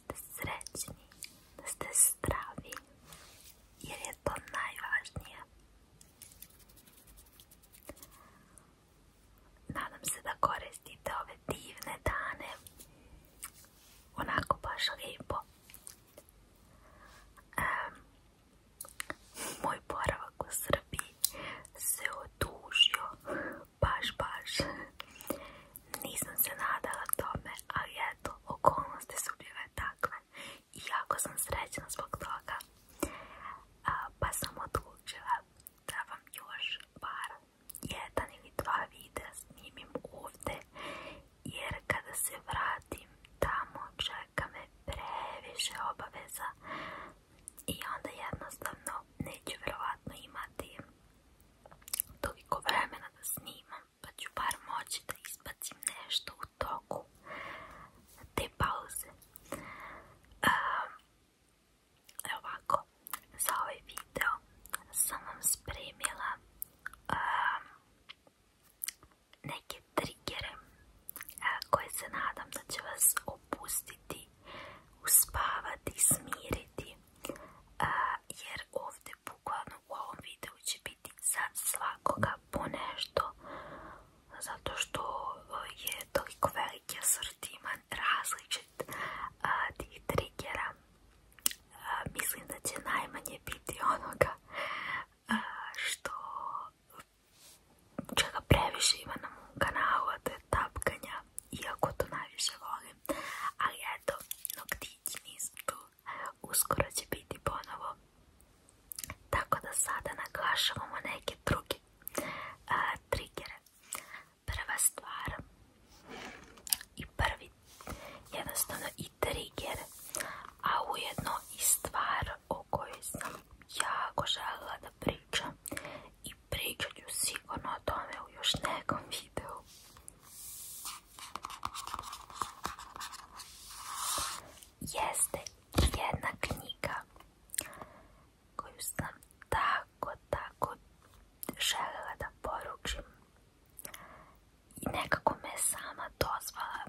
ste srećni, da ste zdravi, jer je to najvažnije. Nadam se da koristite ove divne dane, onako baš lijepo. moj boravak u Srbiji se odužio, baš, baš. Nisam se nadala tome, ali eto, okolnosti su bile takve i jako sam srećna zbog toga. pa sam odlučila da vam još par, jedan ili dva videa snimim ovdje, jer kada se vratim tamo čeka me previše obaveza i onda jednostavno neću vjerovatno imati toliko vremena da snimam pa ću bar moći da nešto u toku te pauze. Um, za ovaj video sam vam spremila neke triggere koje se nadam da će vas opustiti, uspavati, smiriti. jer ovdje vidite u ovom videu će biti za svakoga ponešto zato što e, je toliko veliki asortiman različit od triggera. mislim da će najmanje biti onoga što čega previše ima na mom kanalu je tapkanja iako to najviše volim ali eto, to nisu uskoro će biti ponovo, tako da sada naglašavamo neke druge Prva stvar i prvi, jednostavno i trigger, a ujedno i stvar o kojoj sam jako željela da priča. i pričat ću sigurno o tome u još nekom videu jeste jedna knjiga koju sam tako, tako da poručim i nekako me sama dozvala.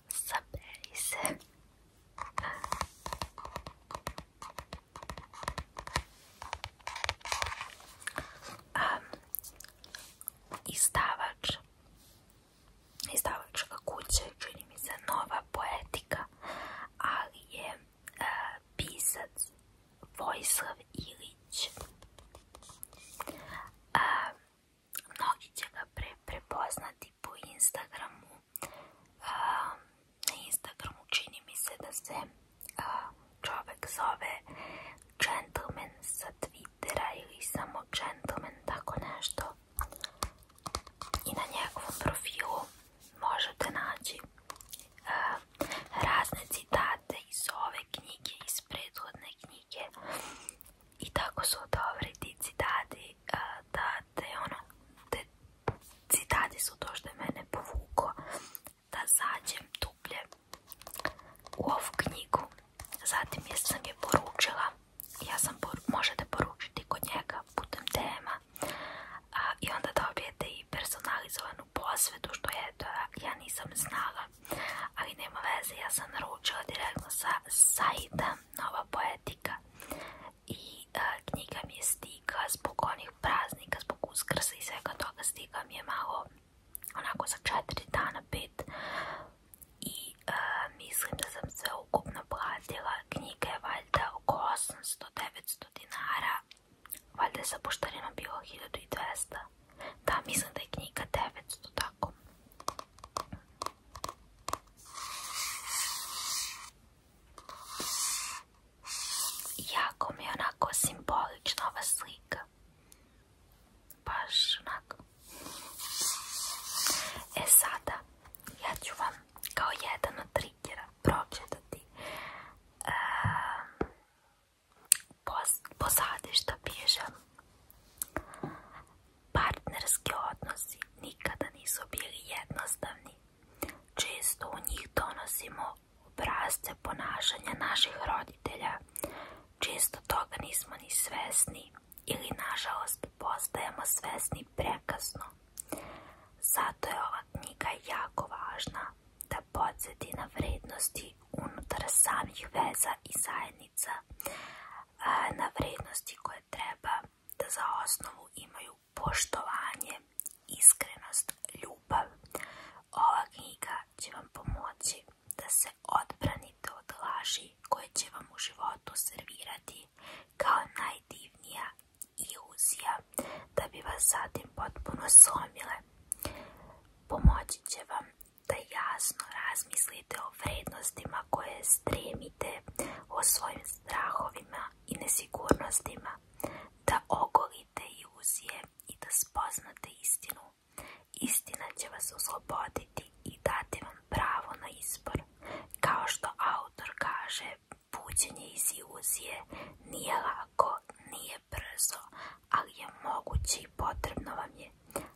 nossa se. Um, izdavač ga kuće, čini mi se nova poetika ali je e, pisac Vojislav Ilić mnogi će ga prepoznati po Instagramu. na Instagramu čini mi se da se čovjek zove gentleman sa Twittera ili samo gentleman, tako nešto. I na njegovom profilu možete naći razne citate iz ove knjige, iz prethodne knjige. I tako su dobri ti citati te ono te citati su to što je mene povuklo da zađem dublje u ovu knjigu zatim jer sam je poručila ja možete poručiti kod njega putem tema i onda dobijete i personalizovanu posvetu što je to ja nisam znala ali nema veze ja sam naručila direktno sa sajta Nova Poezija poetika. I e, knjiga mi je stiga zbog onih praznika, zbog uskrsa i svega toga stiga mi je malo onako za četiri dana, pet. I e, mislim da sam sve ukupno platila. Knjiga je valjda oko 800-900 dinara. Valjda je sa poštarima bilo 1200. Da, mislim da je knjiga 900, tako. Jako mi je onako simbolična ova slika. Baš onako. E sada, ja ću vam kao jedan od triggera pročitati um, Partnerski odnosi nikada nisu bili jednostavni. Često u njih donosimo obrazce ponašanja naših roditelja. Često toga nismo ni svjesni ili nažalost postajemo svesni prekasno. Zato je ova knjiga jako važna da podsjeti na vrednosti unutar samih veza i zajednica, na vrijednosti koje treba da za osnovu imaju poštovanje, iskrenost, ljubav. Ova knjiga će vam pomoći da se odbranite od laži koje će vam u životu servirati kao najdivnija iluzija da bi vas zatim potpuno slomile. Pomoći će vam da jasno razmislite o vrednostima koje stremite, o svojim strahovima i nesigurnostima, da ogolite iluzije i da spoznate istinu. Istina će vas osloboditi i dati vam pravo na izbor. Kao što autor kaže, buđenje iz iluzije nije lako, nije brzo, ali je moguće potrebno vam je,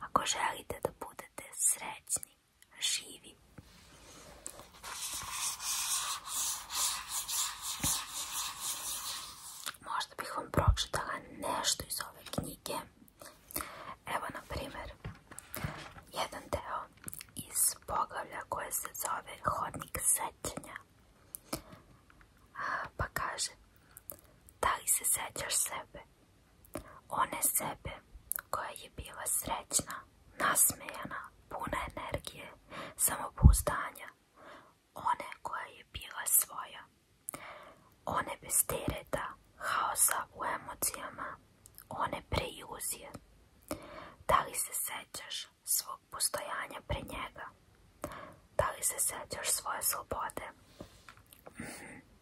ako želite da budete srećni, živi. Možda bih vam pročitala nešto iz ove knjige. Evo, na primjer, jedan deo iz poglavlja koje se zove Hodnik sećanja. Pa kaže, da li se sećaš sebe? One sebe, koja je bila srećna, nasmejana, puna energije, samopouzdanja. One koja je bila svoja. One bez tereta, haosa u emocijama. One preiluzije. Da li se sećaš svog postojanja pre njega? Da li se sećaš svoje slobode? Mhm.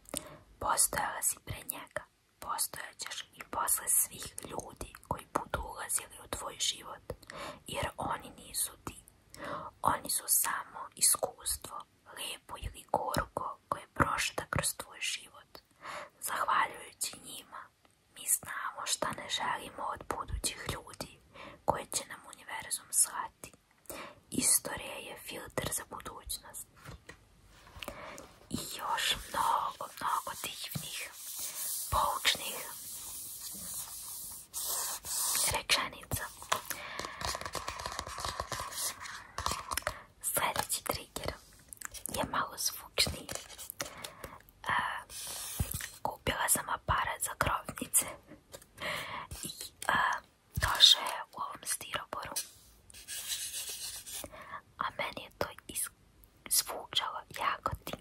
Postojala si pre njega, postojaćeš i posle svih ljudi koji budu ulazili u tvoj život, jer oni nisu ti. Oni su samo iskustvo, lijepo ili gorko koje prošlo kroz tvoj život. Zahvaljujući njima, mi znamo šta ne želimo od budućih ljudi koje će nam univerzum slati. Историја е филтер за будуќност. И још много, много дивних, поучних реченица. Следеќи тригер е мало звучни. А, купила сам апарат за кровнице. je u ovom stiroporu. A meni je to zvučalo jako tingli.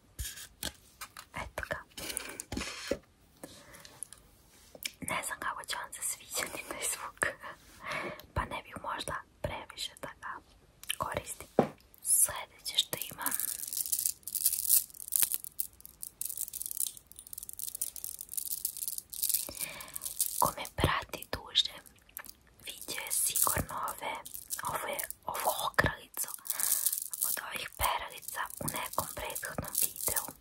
Eto ga. Ne znam kako će vam se sviđati taj zvuk. Pa ne bih možda previše da ga koristim. Sljedeće što imam ko me prati duže vidio je sigurno ove, ovo okralicu od ovih peralica u nekom prethodnom videu.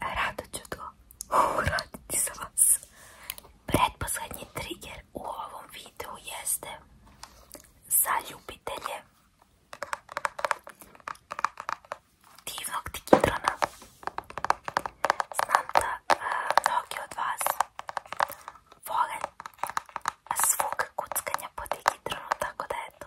rado ću to uraditi za vas. Pretposlednji trigger u ovom videu jeste za ljubitelje divnog tikitrona. Znam da e, mnogi od vas vole svog kuckanja po tikitronu, tako da eto.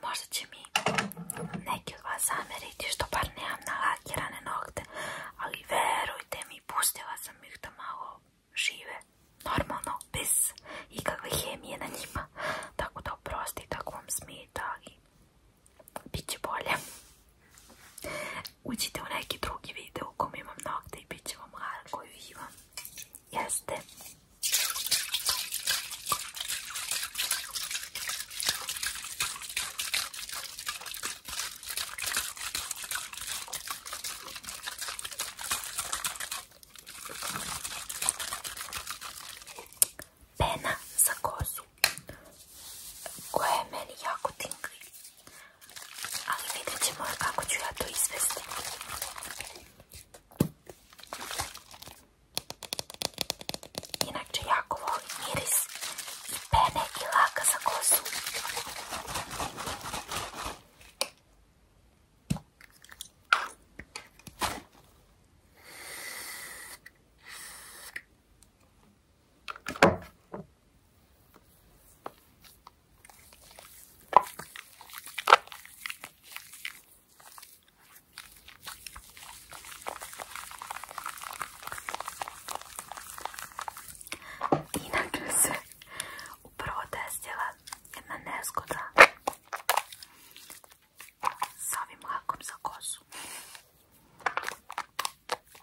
Možda će mi neki od vas zameriti što bar nemam nalakirane nokte, ali verujte mi, pustila sam ih da malo žive, normalno, bez ikakve hemije na njima, tako da oprosti, tako vam bit će bolje. Uđite u neki drugi video u kom imam nokte i bit će vam hara koju imam. Jeste? Pena za kozu koje je meni jako tingli ali vidjet ćemo kako ću ja to izvesti inače jako volim miris i pene i laka za kosu Inače se upravo desila jedna nezgoda s ovim lakom za kosu.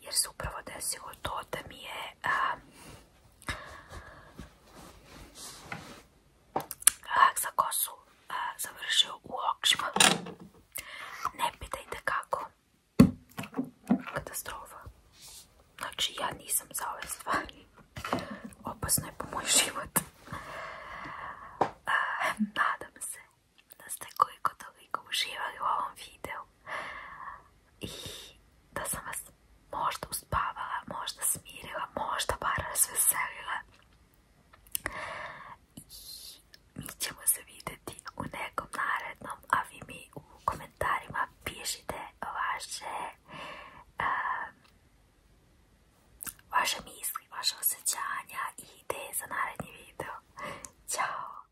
jer se upravo desilo to da mi je a, a, za kosu a, završio u okšima. Ne pitajte kako. Katastrofa. Znači ja nisam za ove stvari. Opasno je po moj život. A, nadam se da ste koliko toliko uživali u ovom videu. i da sam vas možda uspavala, možda smirila, možda bar veselila I mi ćemo se vidjeti u nekom narednom, a vi mi u komentarima pišite vaše misli, vaše osjećanja i ideje za narednji video. Ćao!